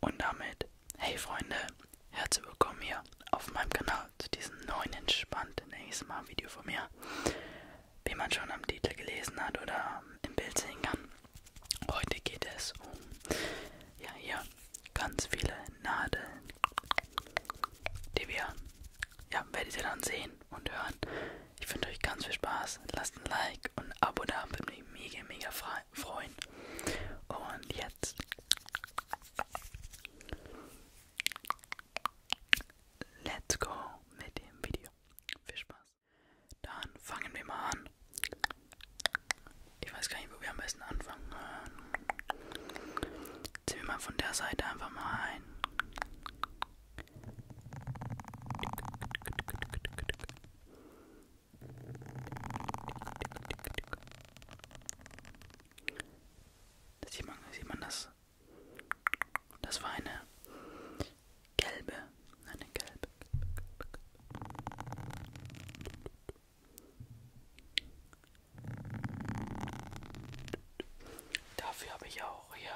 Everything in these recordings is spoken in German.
Und damit, hey Freunde, herzlich willkommen hier auf meinem Kanal zu diesem neuen entspannten ASMR-Video von mir. Wie man schon am Titel gelesen hat oder im Bild sehen kann, heute geht es um, ja hier, ganz viele Nadeln, die wir, ja, werdet ihr dann sehen, und Hören. Ich wünsche euch ganz viel Spaß. Lasst ein Like und ein Abo da. Würde mich mega, mega freuen. Und jetzt. Let's go mit dem Video. Viel Spaß. Dann fangen wir mal an. Ich weiß gar nicht, wo wir am besten anfangen. Ziehen wir mal von der Seite einfach mal ein. Sieht man, sieht man das? Das war eine gelbe, eine gelbe. Dafür habe ich auch hier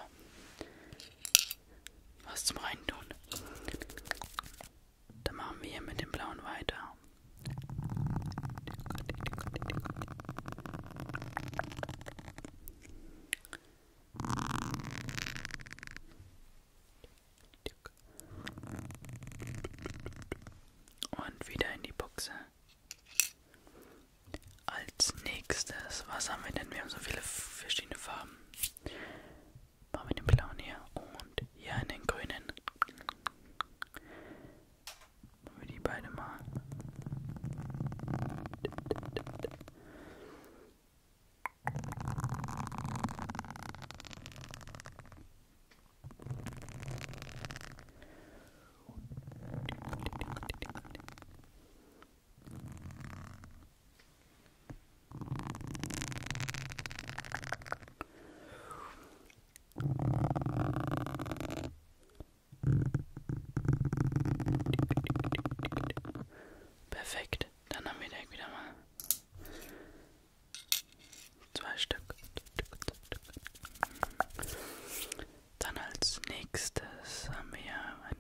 was zum Reintun. Dann machen wir hier mit dem blauen weiter. Und wieder in die Buchse. Als nächstes, was haben wir denn? Wir haben so viele verschiedene Farben. Machen wir den blauen hier und hier einen grünen. Machen wir die beide mal. Perfekt, dann haben wir direkt wieder mal zwei Stück. Dann als nächstes haben wir ein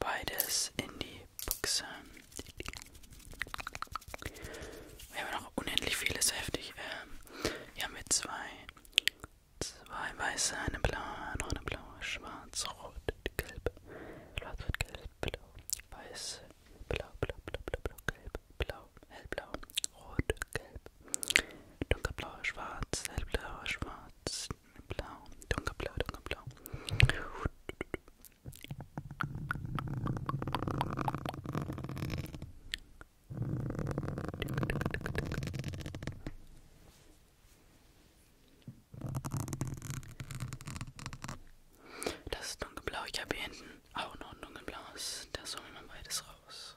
Beides in die Buchse. Wir haben noch unendlich viele, ist heftig. Ähm, hier haben wir zwei, Zwei weiße, eine blaue, noch eine blaue, schwarz, rot, gelb, schwarz, rot, gelb, blau, weiß, blau, blau, blau, blau, blau, gelb, blau, hellblau, rot, gelb, dunkelblau, schwarz, hellblau, schwarz, blau, dunkelblau, dunkelblau. Das ist dunkelblau. Ich habe hier hinten auch noch ein dunkelblaues. Da soll man beides raus.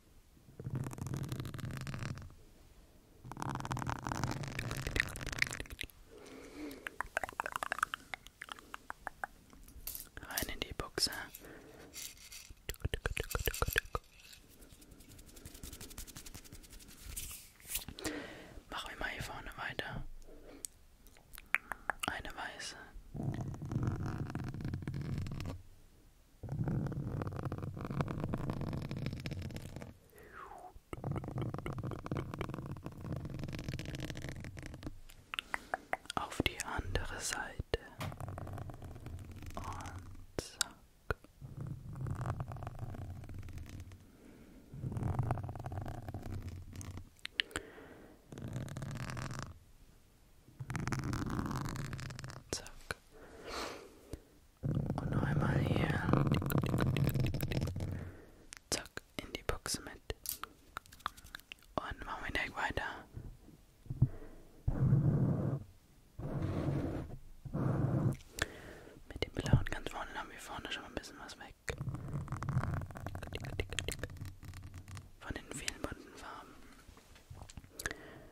Rein in die Buchse. Machen wir mal hier vorne weiter. Eine weiße. Auf die andere Seite und zack. Zack. Und noch einmal hier. Zack, in die Box mit. Und machen wir direkt weiter. Mit dem blauen ganz vorne haben wir vorne schon mal ein bisschen was weg. Von den vielen bunten Farben.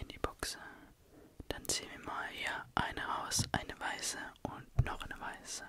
in die Buchse. Dann ziehen wir mal hier eine raus, eine weiße und noch eine weiße.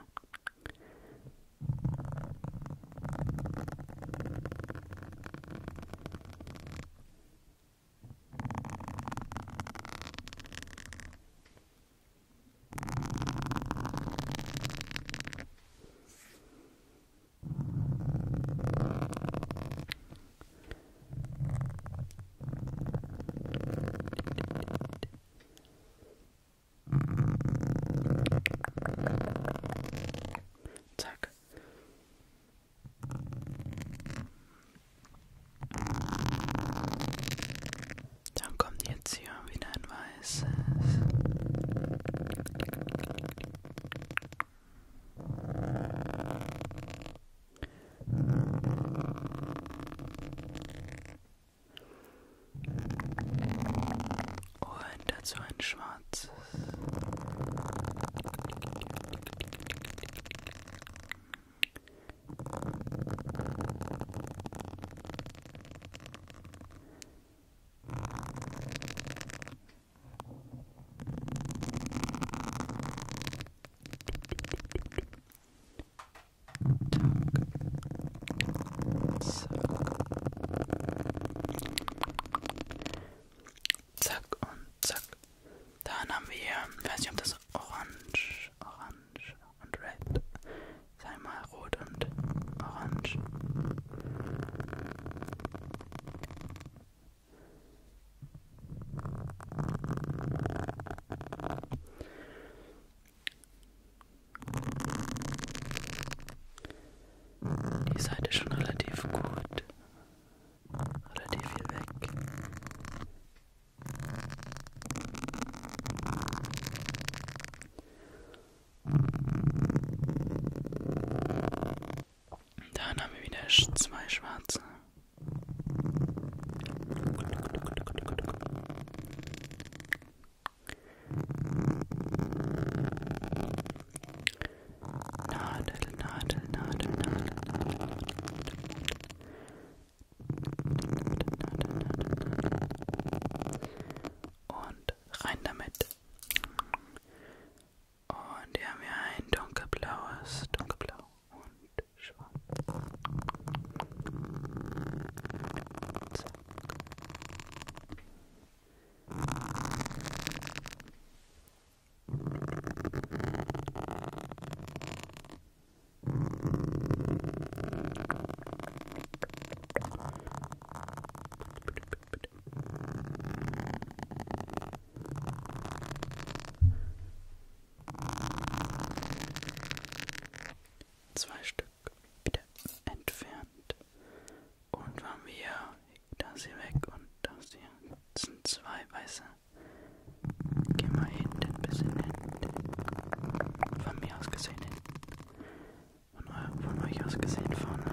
Zack. Dann kommt jetzt hier wieder ein Wein. Weißes. Und dazu ein schwarzes. Zack. Zack und zack. Dann haben wir, ich weiß nicht, ob das orange, orange und red. Sei mal rot und orange. Die Seite schon relativ gut, relativ viel weg. Dann haben wir wieder zwei schwarze. Nadel, Nadel, Nadel, Nadel. Und rein damit. Und hier haben wir ein dunkelblaues, dunkelblau und schwarz. Zack. Zwei Stück wieder entfernt. Und waren wir das hier weg und das hier. Das sind zwei weiße. Geh mal hinten ein bisschen hin. Von mir aus gesehen hin von, von euch aus gesehen vorne.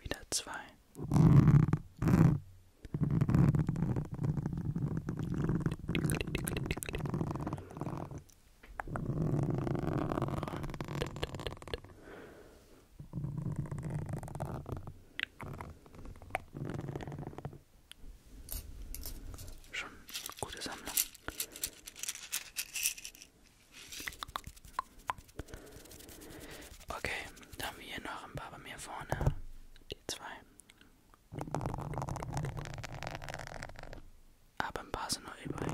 Wieder zwei. Schon eine gute Sammlung. Okay, dann haben wir hier noch ein paar bei mir vorne. Die zwei. Aber ein paar sind noch übrig.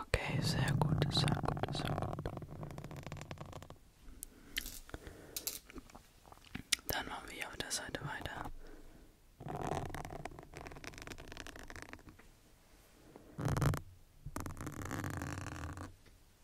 Okay, sehr gut, sehr gut, sehr gut. Dann machen wir hier auf der Seite weiter.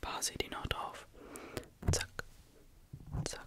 Basi die noch drauf. Zack, zack.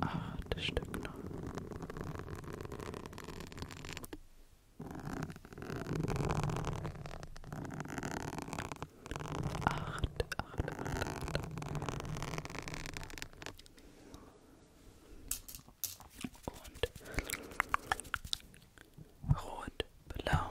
Ach, das stimmt noch. Acht, acht, acht, acht. Und rot, blau.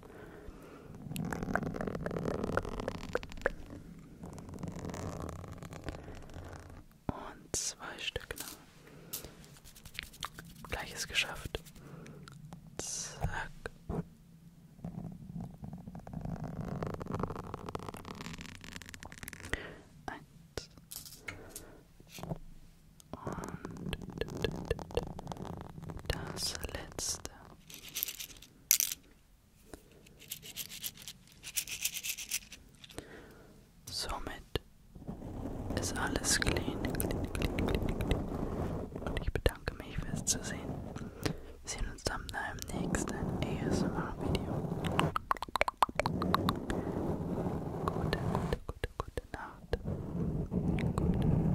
Und zwei Stück, genau. Gleiches geschafft. Zack. Eins. Und das letzte. Somit ist alles clean, clean, clean, clean, clean. Und ich bedanke mich fürs Zusehen. Wir sehen uns dann im nächsten ASMR-Video. Gute, gute, gute, gute Nacht. Gute.